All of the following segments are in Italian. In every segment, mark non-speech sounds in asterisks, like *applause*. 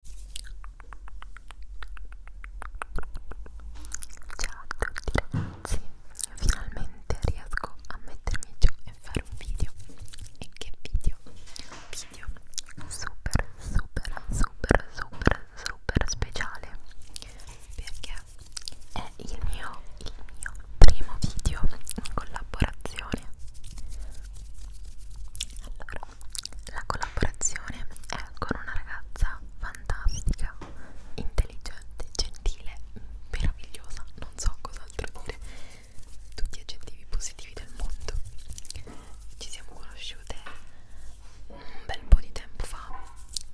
Ciao a tutti ragazzi, finalmente riesco a mettermi giù e fare un video E che video? Video super super super super super speciale Perché è il mio, il mio primo video in collaborazione Allora la collaborazione è con una ragazza fantastica, intelligente, gentile, meravigliosa, non so cos'altro dire, tutti gli aggettivi positivi del mondo. Ci siamo conosciute un bel po' di tempo fa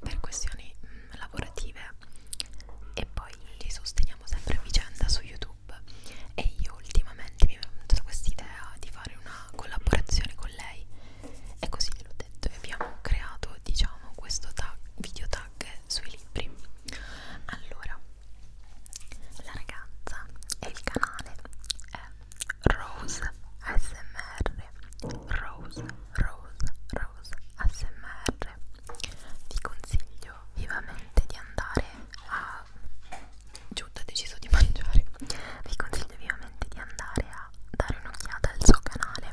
per questioni mh, mm, lavorative e poi li sosteniamo sempre a vicenda su YouTube e io ultimamente mi è venuta questa idea di fare una una collaborazione con lei e così gliel'ho detto e abbiamo creato diciamo questo tag, video tag sui libri allora la ragazza e il canale è Rose ASMR Rose Rose Rose ASMR vi consiglio vivamente di andare a Giuda ha deciso di mangiare. Vi consiglio vivamente di andare a dare un'occhiata al suo canale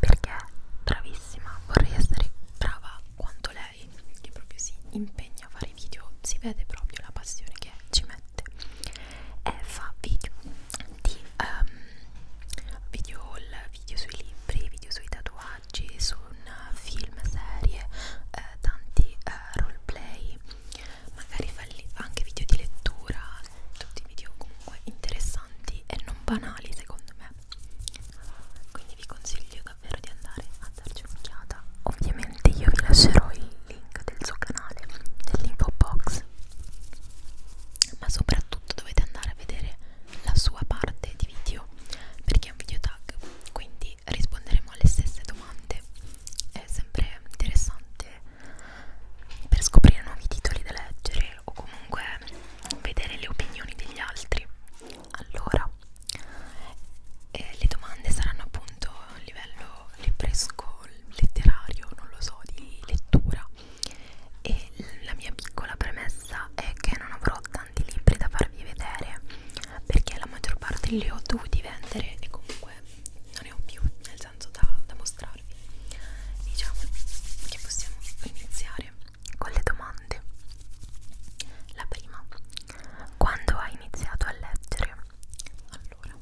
perché è bravissima. Vorrei essere brava quanto lei, che proprio si impegna a fare video. Si vede proprio la passione che ci mette e fa video di um, video haul, video sui libri, video sui tatuaggi, su un film, serie, eh, tanti eh, roleplay magari fai anche video di lettura, tutti video comunque interessanti e non banali secondo me. Quindi vi consiglio davvero di andare a darci un'occhiata. Ovviamente io vi lascerò il link del suo canale nell'info box, ma soprattutto dovete andare a vedere la sua parte di video perché è un video tag, quindi quindi risponderemo alle stesse domande. È sempre interessante per scoprire nuovi titoli da leggere o comunque vedere le opinioni degli altri. Allora, eh, le domande saranno appunto a livello libresco, letterario, non lo so, di lettura. E la mia piccola premessa è che non avrò tanti libri da farvi vedere perché la maggior parte li ho dovuti vendere e comunque non ne ho più nel senso da, da mostrarvi diciamo che possiamo iniziare con le domande la prima quando hai iniziato a leggere allora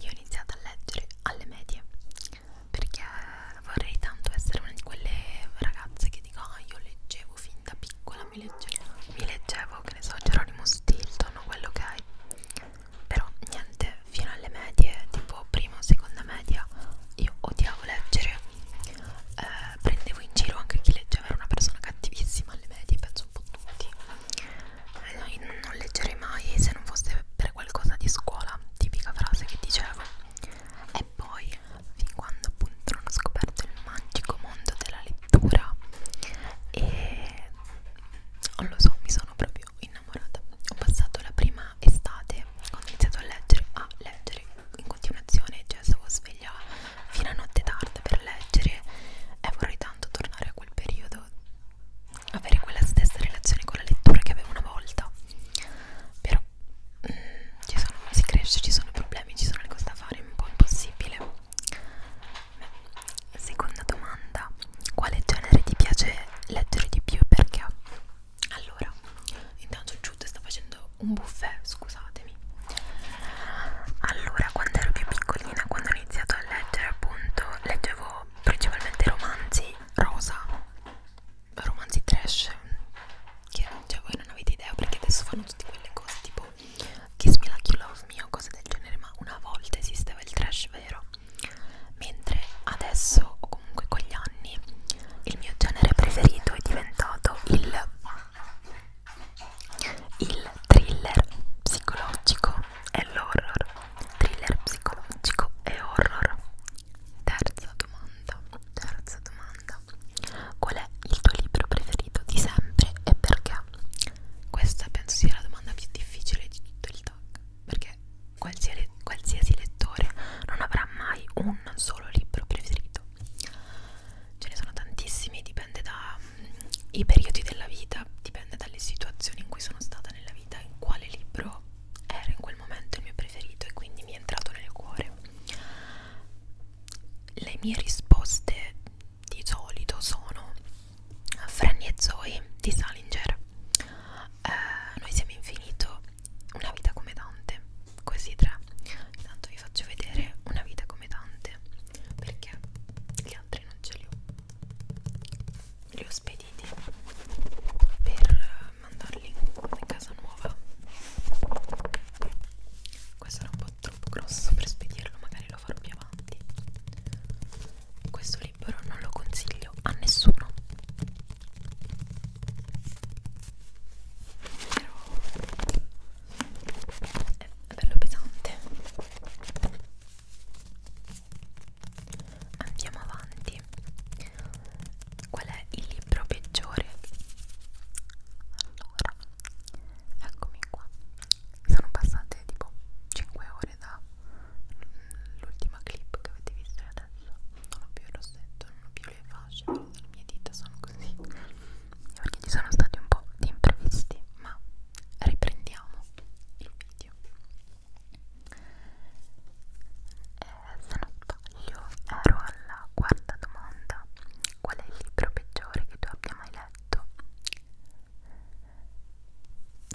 io ho iniziato a leggere alle medie perché vorrei tanto essere una di quelle ragazze che dico ah io leggevo fin da piccola mi leggevo mi leggevo che ne so Geronimo Stilton o quello che hai però niente fino alle medie tipo prima o seconda media io odiavo leggere eh, prendevo in giro anche chi leggeva era una persona cattivissima alle medie penso un po' tutti eh, non leggerei mai se non fosse per qualcosa di scuola tipica frase che dicevo e poi fin quando appunto non ho scoperto il magico mondo della letteratura pittura e non lo so, mi sono proprio innamorata. Ho passato la prima estate quando ho iniziato a leggere, a leggere in continuazione, cioè stavo sveglia fino a notte tarda per leggere e vorrei tanto tornare a quel periodo, avere quella stessa relazione con la lettura che avevo una volta. Però mh, mm, ci sono, si cresce, ci sono problemi, ci sono le cose da fare, è un po' impossibile. Beh, seconda domanda, quale genere ti piace leggere di più e perché? Allora, intanto Jude sta facendo un buffet, scusatemi. Allora, quando ero più piccolina, quando ho iniziato a leggere, appunto, leggevo principalmente romanzi rosa, romanzi trash, che cioè voi non avete idea perché adesso fanno tutte quelle cose tipo Kiss Me Like You Love Me o cose del genere, ma una volta esisteva il trash vero. Mentre adesso, o comunque con gli anni, il mio genere preferito è diventato il, il thriller psicologico e l'horror. Thriller psicologico e horror. Terza domanda, terza domanda. Qual è il tuo libro preferito di sempre e perché? Questa penso sia la domanda più difficile di tutto il tag, perché qualsiasi, qualsiasi lettore non avrà mai un solo libro preferito. Ce ne sono tantissimi, dipende dai mm, periodi della vita, dipende dalle situazioni in cui sono stata nella vita, in quale libro era in quel momento il mio preferito e quindi mi è entrato nel cuore. Le mie risposte di solito sono Franny e Zoe di Salinger eh, Noi siamo infinito Una vita come Dante Questi tre Intanto vi faccio vedere Una vita come Dante Perché gli altri non ce li ho Li ho spediti Per mandarli in casa nuova questo era un po' troppo grosso per spedirlo, magari lo voglio farvi avanti questo libro non lo consiglio a nessuno però è bello pesante andiamo avanti qual è il libro peggiore allora Eccomi qua. Sono passate tipo 5 ore dall'ultima clip che avete visto e adesso non ho più il rossetto, non ho più le fasce, le mie dita sono così. Perché ci sono stati un po' di imprevisti, ma riprendiamo il video. Eh, se non sbaglio, ero alla quarta domanda: qual è il libro peggiore che tu abbia mai letto? letto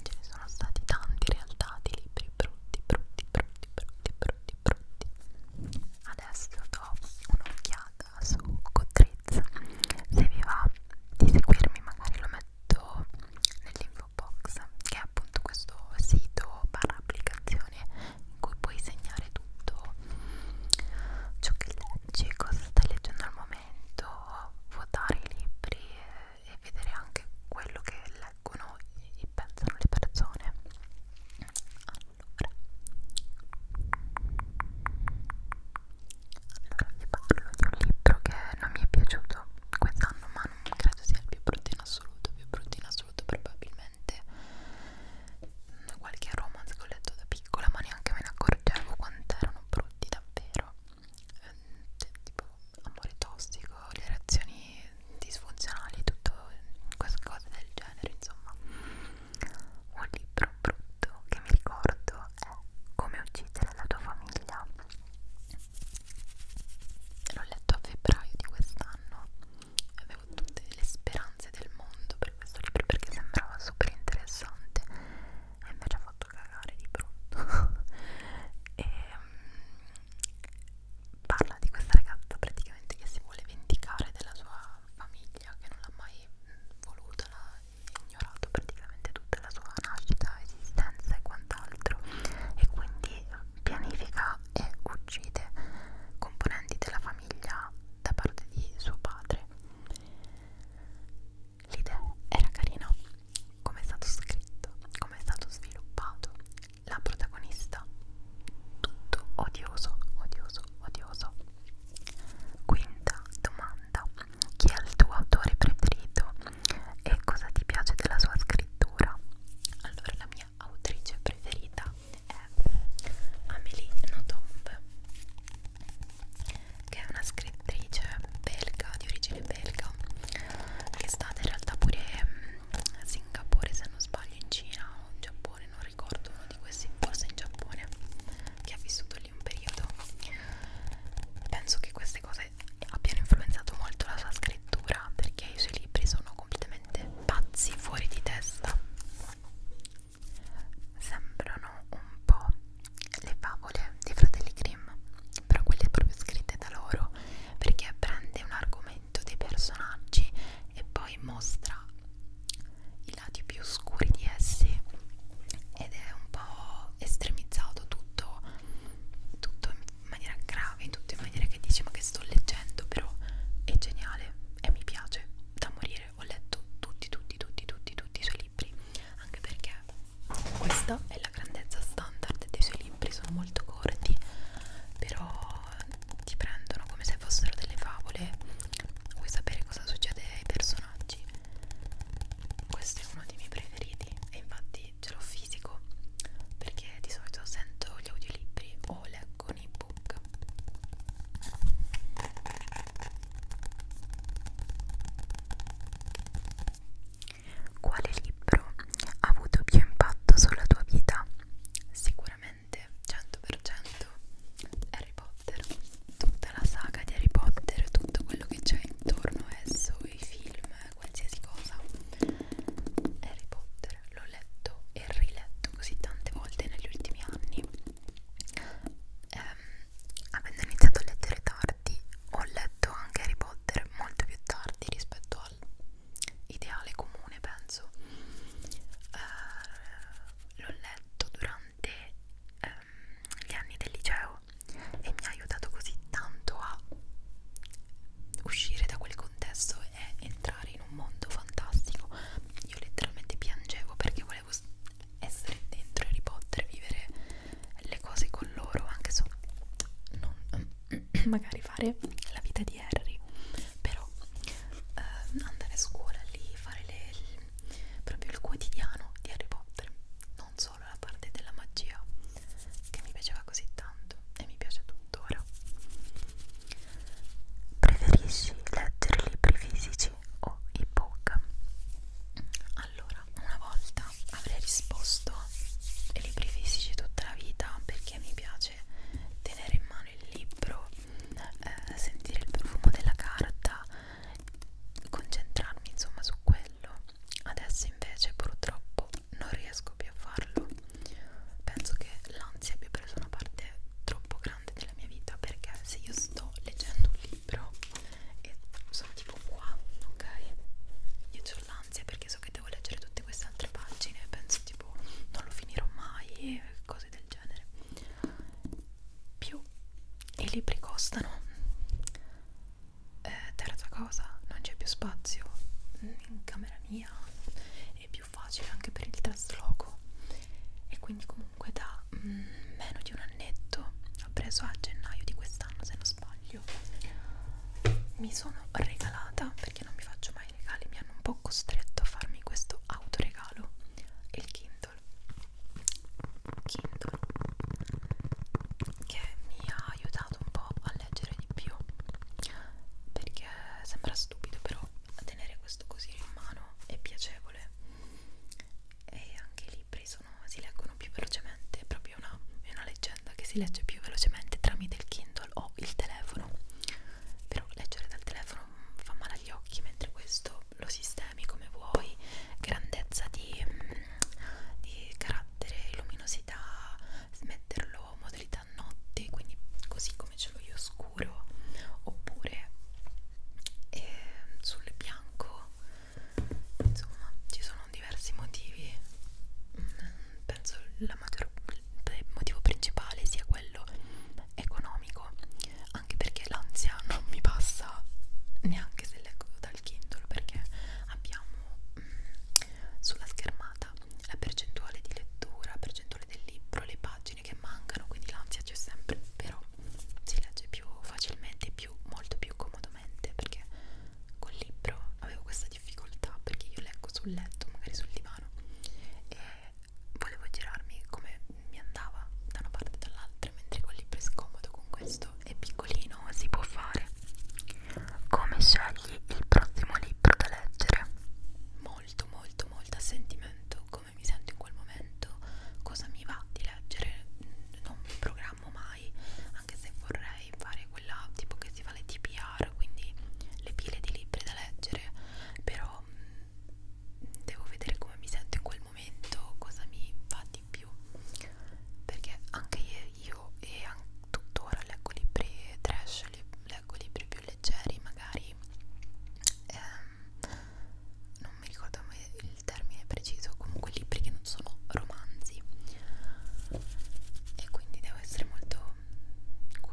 ce ne sono stati tanti in realtà di libri brutti brutti brutti brutti brutti brutti adesso do un'occhiata su Goodreads se vi va di seguirmi magari lo metto nell'info box che è appunto questo sito barra applicazione in cui puoi segnare tutto ciò che leggi cosa stai leggendo al momento momento votare i libri e, e vedere anche quello che leggono e pensano le persone allora allora vi parlo di un libro che non mi è piaciuto quest'anno ma non credo sia il più brutto in assoluto il più brutto in assoluto probabilmente qualche romanzo che ho letto da piccola ma neanche me ne accorgo accorgevo quanto erano brutti davvero ehm, cioè, tipo amore tossico, le reazioni disfunzionali, tutto queste cose del genere insomma un libro brutto che mi ricordo è Come uccidere la tua famiglia l'ho letto a febbraio di quest'anno avevo tutte le speranze del mondo per questo libro perché sembrava super interessante e mi ha già fatto cagare di brutto *laughs* e um, parla di questa ragazza praticamente che si vuole vendicare della sua famiglia che non l'ha mai mm, voluta l'ha ignorato praticamente tutta la sua nascita, esistenza e quant'altro e quindi pianifica e uccide componenti della famiglia da parte di suo padre l'idea era carina come è stato scritto, come è stato sviluppato la protagonista tutto odioso, odioso, odioso quinta domanda chi è il tuo autore preferito e cosa ti piace della sua scrittura? allora la mia autrice preferita è Amélie Nothomb che è una scrittrice belga di origine belga che è stata in realtà pure a mm, Singapore se non sbaglio in Cina o in Giappone non ricordo uno di questi forse in Giappone che ha vissuto lì un periodo penso che queste cose abbiano influenzato molto la sua scrittura perché i suoi libri sono completamente pazzi fuori di testa sembrano un po' le favole dei fratelli Grimm, però quelle proprio scritte da loro, perché prende un argomento dei personaggi e poi mostra i lati più scuri di essi ed è un po' estremizzato tutto, tutto in maniera grave, tutto in maniera che dici ma che sto leggendo, però è geniale e mi piace da morire, ho letto tutti, tutti, tutti, tutti, tutti i suoi libri anche perché questa è la grandezza standard dei suoi libri sono molto corti però ti prendono come se fossero delle favole vuoi sapere cosa succede ai personaggi questo è uno dei miei preferiti e infatti ce l'ho fisico perché di solito sento gli audiolibri o leggo un ebook quale libro ha avuto più impatto sulla tua vita? Sicuramente 100% Harry Potter, tutta la saga di Harry Potter, tutto quello che c'è intorno a esso, i film, qualsiasi cosa. Harry Potter l'ho letto e riletto così tante volte negli ultimi anni. Eh, Ehm, avendo iniziato a leggere tardi ho letto anche Harry Potter molto più tardi rispetto all'ideale comune penso eh, l'ho letto durante ehm, gli anni del liceo e mi ha aiutato così tanto a uscire da quel contesto e entrare in un mondo fantastico io letteralmente piangevo perché volevo essere dentro Harry Potter, vivere le cose con loro, anche se non *clears throat* magari fare la vita di Harry, però eh, andare a scuola lì, fare le, il, proprio il quotidiano di Harry Potter, non solo la parte della magia che mi piaceva così tanto e mi piace tuttora. Preferisci leggere libri fisici Amici o ebook. Allora, una volta avrei risposto ai libri fisici tutta la vita perché mi piace tenere in mano il libro, eh, sentire il profumo della carta, concentrarmi insomma su quello. Adesso invece purtroppo non riesco più a farlo. Penso che l'ansia abbia preso una parte troppo grande importante della mia vita perché se io sto leggendo un libro e sono tipo qua, ok? Io ho l'ansia perché so che devo leggere tutte queste altre pagine e penso tipo non lo finirò mai e cose del genere. Più i libri costano. Eh, terza cosa, non c'è più spazio in camera mia, è più facile anche per il trasloco e quindi comunque da da mm, meno di un annetto l'ho preso a gennaio di quest'anno se non sbaglio mi sono regalata perché non mi faccio mai regali mi hanno un po' costretto a farmi questo autoregalo il Kindle Kindle che mi ha aiutato un po' a leggere di più perché sembra stupido però tenere questo così in mano è piacevole e anche i libri sono, si leggono più velocemente, è proprio una, è una leggenda che si legge più velocemente tramite il Kindle o il telefono, però leggere dal telefono fa male agli occhi, mentre questo lo sistemi come vuoi, grandezza di, mm, di carattere, luminosità, smetterlo modalità notte, quindi così come ce l'ho io scuro, oppure e sul bianco insomma ci sono diversi motivi mm, penso la maggior, il motivo principale sia quello economico anche perché l'ansia non mi passa neanche se leggo dal Kindle perché abbiamo mh, mm, sulla schermata la percentuale di lettura percentuale del libro le pagine pagine che mancano quindi l'ansia c'è sempre però si legge più facilmente più molto più comodamente perché col libro avevo questa difficoltà perché io leggo sul letto magari sul divano e volevo girarmi come mi andava da una parte e dall'altra mentre col libro è scomodo con questo è piccolino si può fare come scegli il prossimo libro da leggere molto molto molto a sentimento come mi sento in quel momento, cosa mi va di leggere, mm, non mi programmo mai, anche se vorrei fare quella tipo che si fa le TPR, quindi le pile di libri da leggere, però mh, mm, devo vedere come mi sento in quel momento, cosa mi va di più, perché anche io e anche tuttora leggo libri trash, leggo libri più leggeri magari. Ehm, non mi ricordo il termine preciso, comunque libri che non sono romanzi e quindi devo essere molto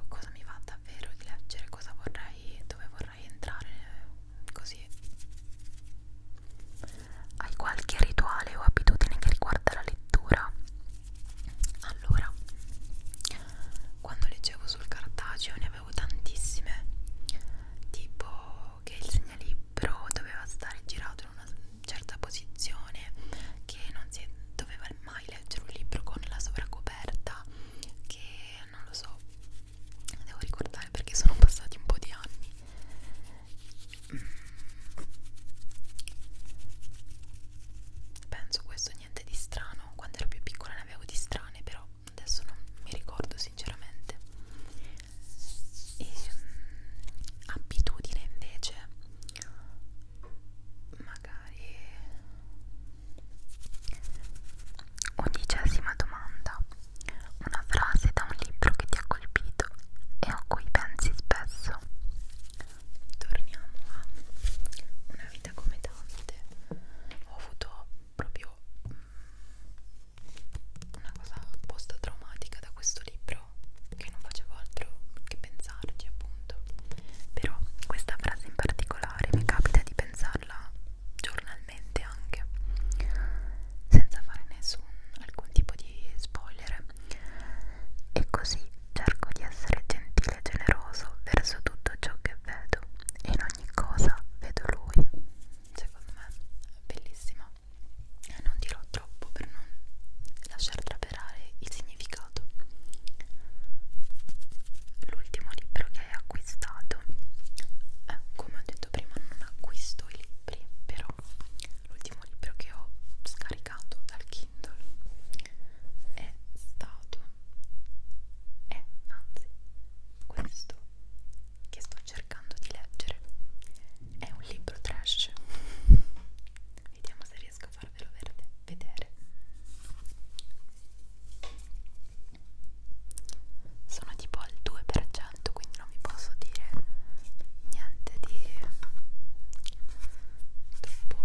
cosa mi va davvero di leggere, cosa vorrei, dove vorrei entrare così hai qualche rituale o abitudine che riguarda la lettura? Allora, quando leggevo sul cartaceo ne avevo tantissime, tipo che il segnalibro doveva stare girato in una certa posizione, che non si doveva mai leggere un libro con la sovracoperta, che non lo so, devo ricordare perché sono passati un po' di anni. Mm. Penso questo niente di strano, quando ero più piccola ne avevo di strane però adesso non mi ricordo sinceramente e, ehm, abitudine invece magari undicesima domanda una frase da un libro che ti ha colpito e a cui pensi spesso torniamo a una vita come tante ho avuto proprio una cosa post-traumatica da questo libro che non facevo altro che pensarci appunto però questa frase in particolare mi capita di pensarla giornalmente anche senza fare nessun alcun tipo di spoiler e così cerco di essere gentile e generoso verso tutto ciò che vedo e in ogni cosa vedo lui secondo me bellissima non dirò troppo per non lasciar traperare il significato l'ultimo libro che hai acquistato eh, come ho detto prima non acquisto i libri però l'ultimo libro che ho scaricato dal Kindle è stato è anzi questo che sto cercando di leggere è un libro trash vediamo se riesco a farvelo vedere sono tipo al 2% quindi non vi posso dire niente di troppo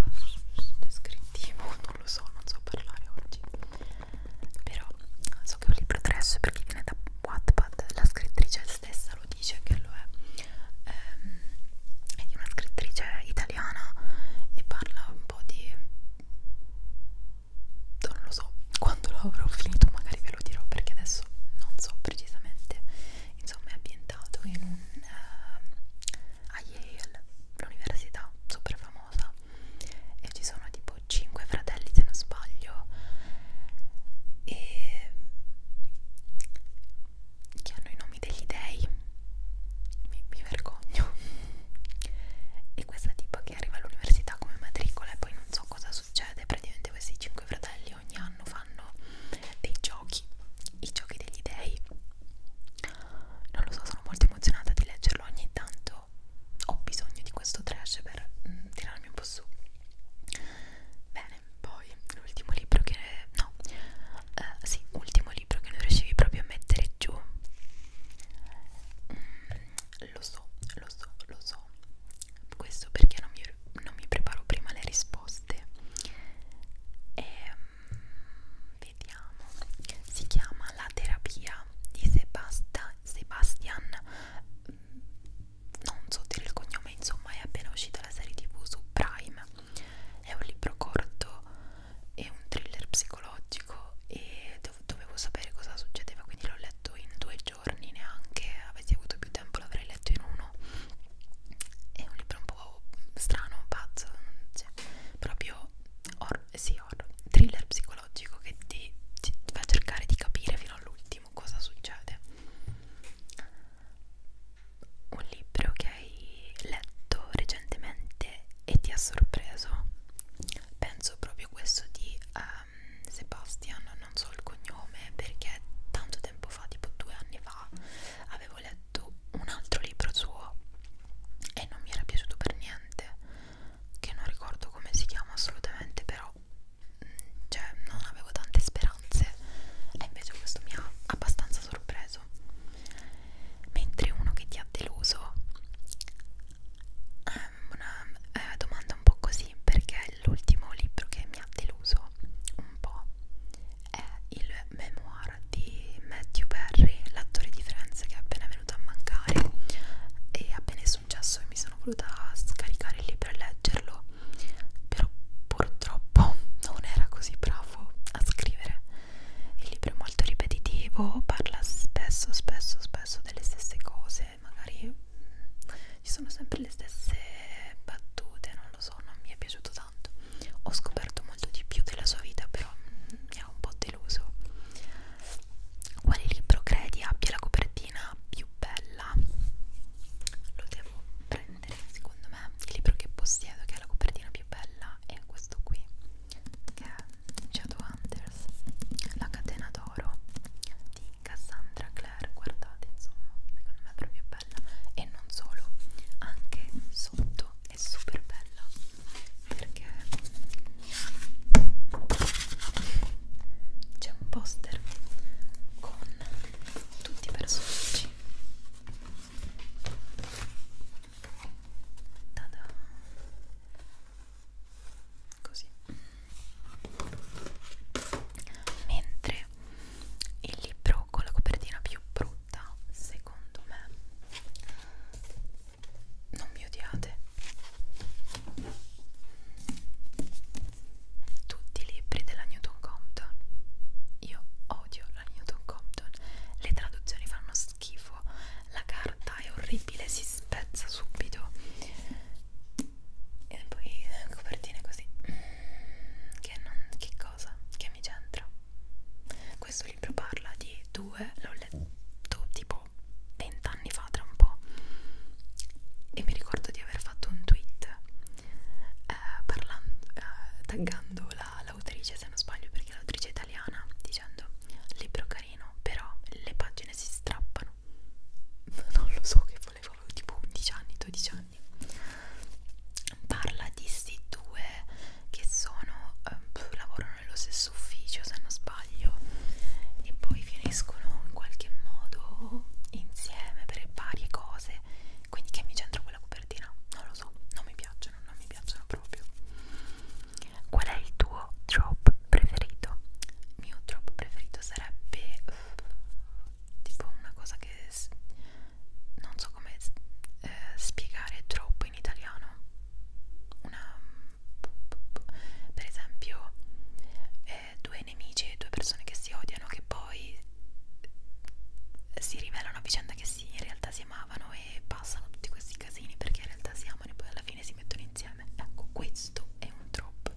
mm, descrittivo non lo so non so parlare oggi però so che è un libro trash perché viene da Wattpad la scrittrice stessa lo dice che lo è ehm, è di una scrittrice italiana e parla un po' di non lo so quando lo avrò finito magari ve lo dirò perché adesso non so precisamente insomma è ambientato in un, eh, a Yale l'università super famosa e ci sono tipo 5 fratelli se non sbaglio e che hanno i nomi degli dei mi, mi vergogno e questa tipo che arriva all'università come matricola e poi non so cosa succede praticamente questi 5 fratelli ogni anno fanno dei giochi i giochi degli dei non lo so sono molto emozionata di leggerlo ogni tanto appunto ho bisogno di questo trash per mm, tirarmi un po' su bene poi l'ultimo libro che no uh, sì ultimo libro che non riuscivi proprio a mettere giù mm, lo so lo so lo so questo perché non mi, non mi preparo prima le risposte e um, vediamo si chiama la terapia di Sebasta Sebastian non so dire il cognome insomma è appena uscita la serie tv su Prime è un libro corto è un thriller psicologico e dovevo sapere cosa succedeva quindi l'ho letto in due giorni neanche avessi avuto più tempo l'avrei letto in uno è un libro un po' strano, pazzo, cioè, proprio or sì, sì, horror, thriller psicologico che ti, ti fa cercare di capire fino all'ultimo cosa succede. Un libro che hai letto recentemente e ti ha sorpreso, penso proprio questo di um, Sebastian, non so il cognome perché tanto tempo fa, tipo due anni fa, avevo letto un altro libro suo e non mi era piaciuto per niente che non ricordo come si chiama assolutamente però mm, cioè non avevo tante speranze e invece questo mi ha abbastanza sorpreso mentre uno che ti ha deluso è eh, una eh, domanda un po' così perché l'ultimo libro che mi ha deluso un po' è il memoir di Matthew Perry l'attore di Friends che è appena venuto venuto a mancare e appena è successo mi sono voluta scaricare lì per leggerlo però purtroppo *laughs* non era così bravo a scrivere il libro è molto ripetitivo parla spesso spesso spesso delle stesse cose magari mm, ci sono sempre le stesse battute non lo so non mi è piaciuto tanto ho scoperto molto di più della sua vita però mm, mi ha un po' deluso quale libro credi abbia la copertina più bella? Lo devo prendere, secondo me. Il libro che possiedo che ha la copertina più bella è questo qui, che è Shadowhunters, La catena d'oro di Cassandra Clare. Guardate, insomma, secondo me è proprio bella. E non solo, anche sotto è super bella perché c'è un poster con tutti i personaggi Tada. così mentre il libro con la copertina più brutta secondo me non mi odiate tutti i libri della Newton Compton io odio la Newton Compton le traduzioni fanno schifo la carta è orribile si spezza subito e poi eh, copertine così che, non, che cosa? che mi c'entra? questo libro parla di due l'ho letto tipo tipo vent'anni fa tra un po' e mi ricordo di aver fatto un tweet eh, parlando, eh, taggando l'autrice la, se non sbaglio perché è l'autrice italiana dicendo libro carino però le pagine si strappano *laughs* non lo so che volevo avevo tipo 11 anni 12 anni parla di sti due che sono eh, lavorano nello stesso ufficio se non sbaglio sbaglio e poi finiscono in qualche modo insieme per varie cose quindi che mi c'entra quella copertina? non lo so, non mi piacciono, non mi piacciono proprio qual è il tuo drop preferito? il mio drop preferito sarebbe eh, tipo una cosa che non so come eh, spiegare drop in italiano una per esempio eh, due nemici, due persone che si odiano che poi si rivelano a vicenda che si, in realtà si amavano e passano tutti questi casini perché in realtà si amano e poi alla fine si mettono insieme ecco questo è un trope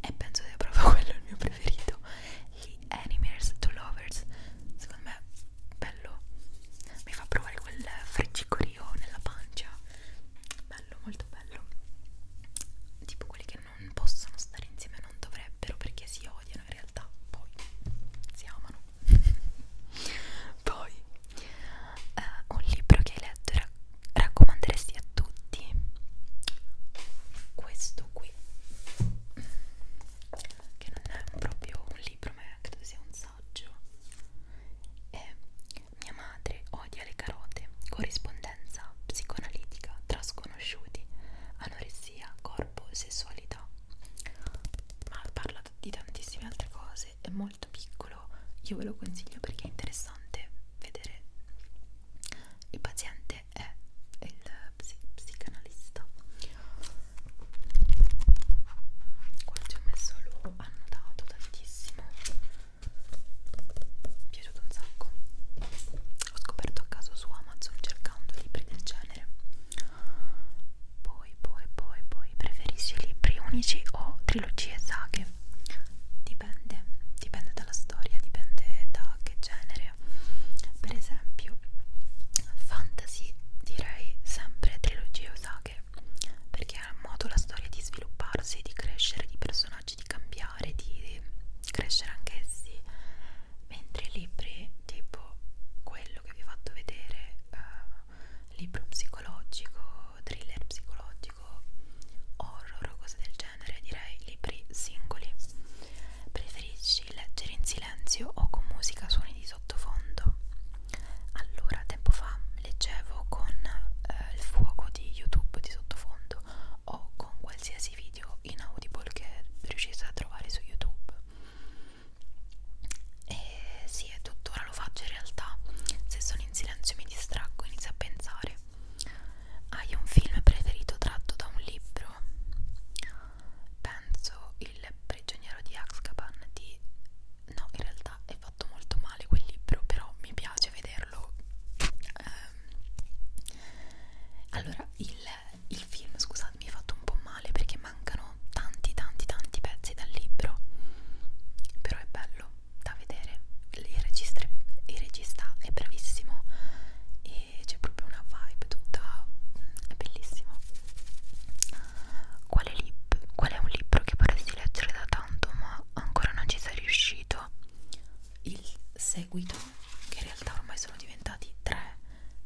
e penso sia proprio *laughs* quello il mio preferito gli animers to lovers secondo me bello mi fa provare quel friccicorino olio nella pancia bello molto bello tipo quelli che non possono stare insieme non dovrebbero perché si odiano in realtà poi si amano *laughs* poi eh, un libro che hai letto e raccomanderesti a tutti questo qui che non è proprio un libro ma credo sia un saggio messaggio e mia madre odia le carote corrispondenza psicoanalitica tra sconosciuti anoressia corpo sessualità ma parla di tantissime altre cose è molto piccolo io ve lo consiglio perché è interessante vedere il paziente è il psi psicanalista qua ci ho messo lui loro hanno dato tantissimo mi è piaciuto un sacco ho scoperto a caso su Amazon cercando libri del genere poi poi poi poi preferisci libri unici o trilogie saghe dipende dipende dalla storia dipende da che genere per esempio fantasy direi sempre trilogie o saghe leggere perché ha modo la storia di svilupparsi, di crescere, di personaggi, di cambiare, di crescere anch'essi mentre i libri tipo quello che vi ho fatto vedere eh, libro psicologico, thriller psicologico horror o cose del genere direi libri singoli preferisci leggere in silenzio o con musica suoni di sottofondo allora, tempo fa leggevo con eh, il fuoco di YouTube di sottofondo o con qualsiasi video inaudible che riuscisse a trovare su YouTube. E sì, è tuttora lo faccio in realtà. Se sono in silenzio mi distraggo, inizio a pensare. Hai un film preferito tratto da un libro? Penso Il prigioniero di Azkaban di... No, in realtà è fatto molto male quel libro, però mi piace vederlo. Um, allora, il, il film, scusate, mi ha fatto un po' male perché mancano tanti, tanti, tanti pezzi dal libro. Però è bello da vedere. Il, registre, il regista è bravissimo e c'è proprio una vibe tutta. è bellissimo. Qual è, qual è un libro che vorresti leggere da tanto ma ancora non ci sei riuscito il seguito che in realtà ormai sono diventati tre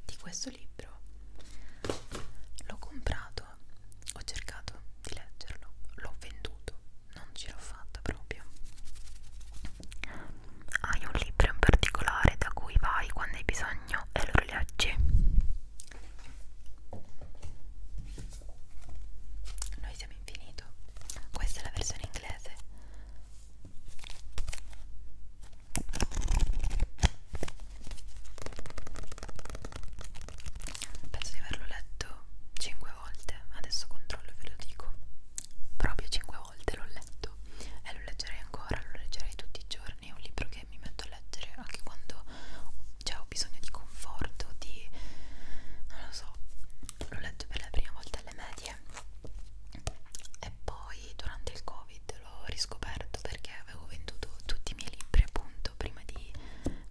di questo libro l'ho comprato ho cercato di leggerlo l'ho venduto non ce l'ho fatta proprio hai un libro in particolare da cui vai quando hai bisogno e lo rileggi noi siamo infinito. Questa è la versione inglese. Penso di averlo letto 5 volte. Adesso controllo e ve lo dico. Proprio 5 volte l'ho letto e lo leggerei ancora, lo leggerei tutti i giorni. È un libro che mi metto a leggere anche quando cioè ho bisogno di conforto, di non lo so, l'ho letto per la prima volta alle medie e poi durante il covid l'ho riscoperto perché avevo venduto tutti i miei libri appunto prima di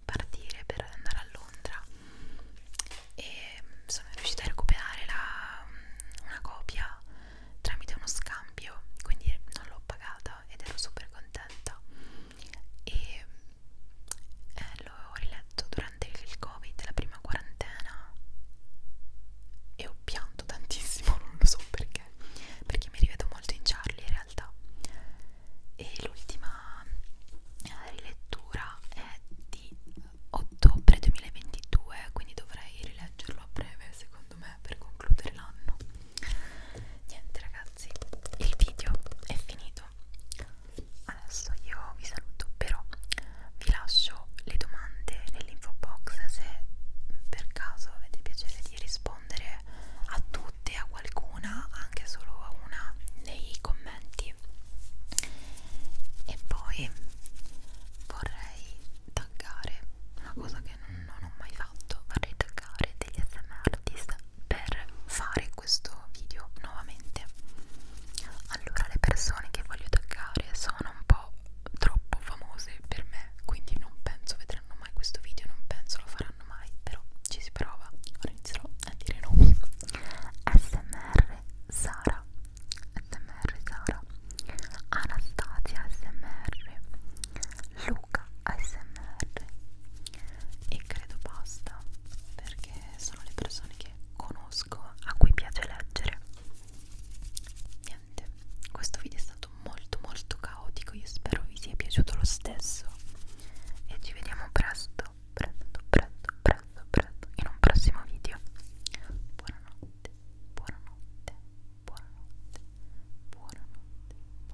partire per andare a Londra e sono riuscita a recuperare la, una copia tramite uno scambio quindi non l'ho pagata ed ero super contenta e eh, l'ho riletto durante il covid, la prima quarantena e ho pianto tantissimo, *laughs* non lo so perché perché mi rivedo molto in Charlie in realtà e l'ultima eh, rilettura è di ottobre 2022 quindi dovrei rileggerlo a breve secondo me per concludere l'anno niente ragazzi ragazzi il video è finito adesso io vi saluto però vi lascio le domande nell'info box se per caso avete piacere di rispondere a tutte a qualcuna anche solo a una nei commenti e poi vorrei taggare una cosa che non non ho mai fatto vorrei toccare degli SM artist per fare questo video nuovamente allora le persone che voglio toccare sono un po' troppo famose per me quindi non penso vedranno mai questo video non penso lo faranno mai però ci si prova ora inizierò a dire nomi smr Sara smr Sara Anastasia smr Luca smr e credo basta perché sono le persone che conosco a cui piace leggere niente questo video è stato molto molto caotico io spero vi sia piaciuto lo stesso e ci vediamo presto presto presto presto presto in un prossimo video buonanotte buonanotte buonanotte buonanotte, buonanotte.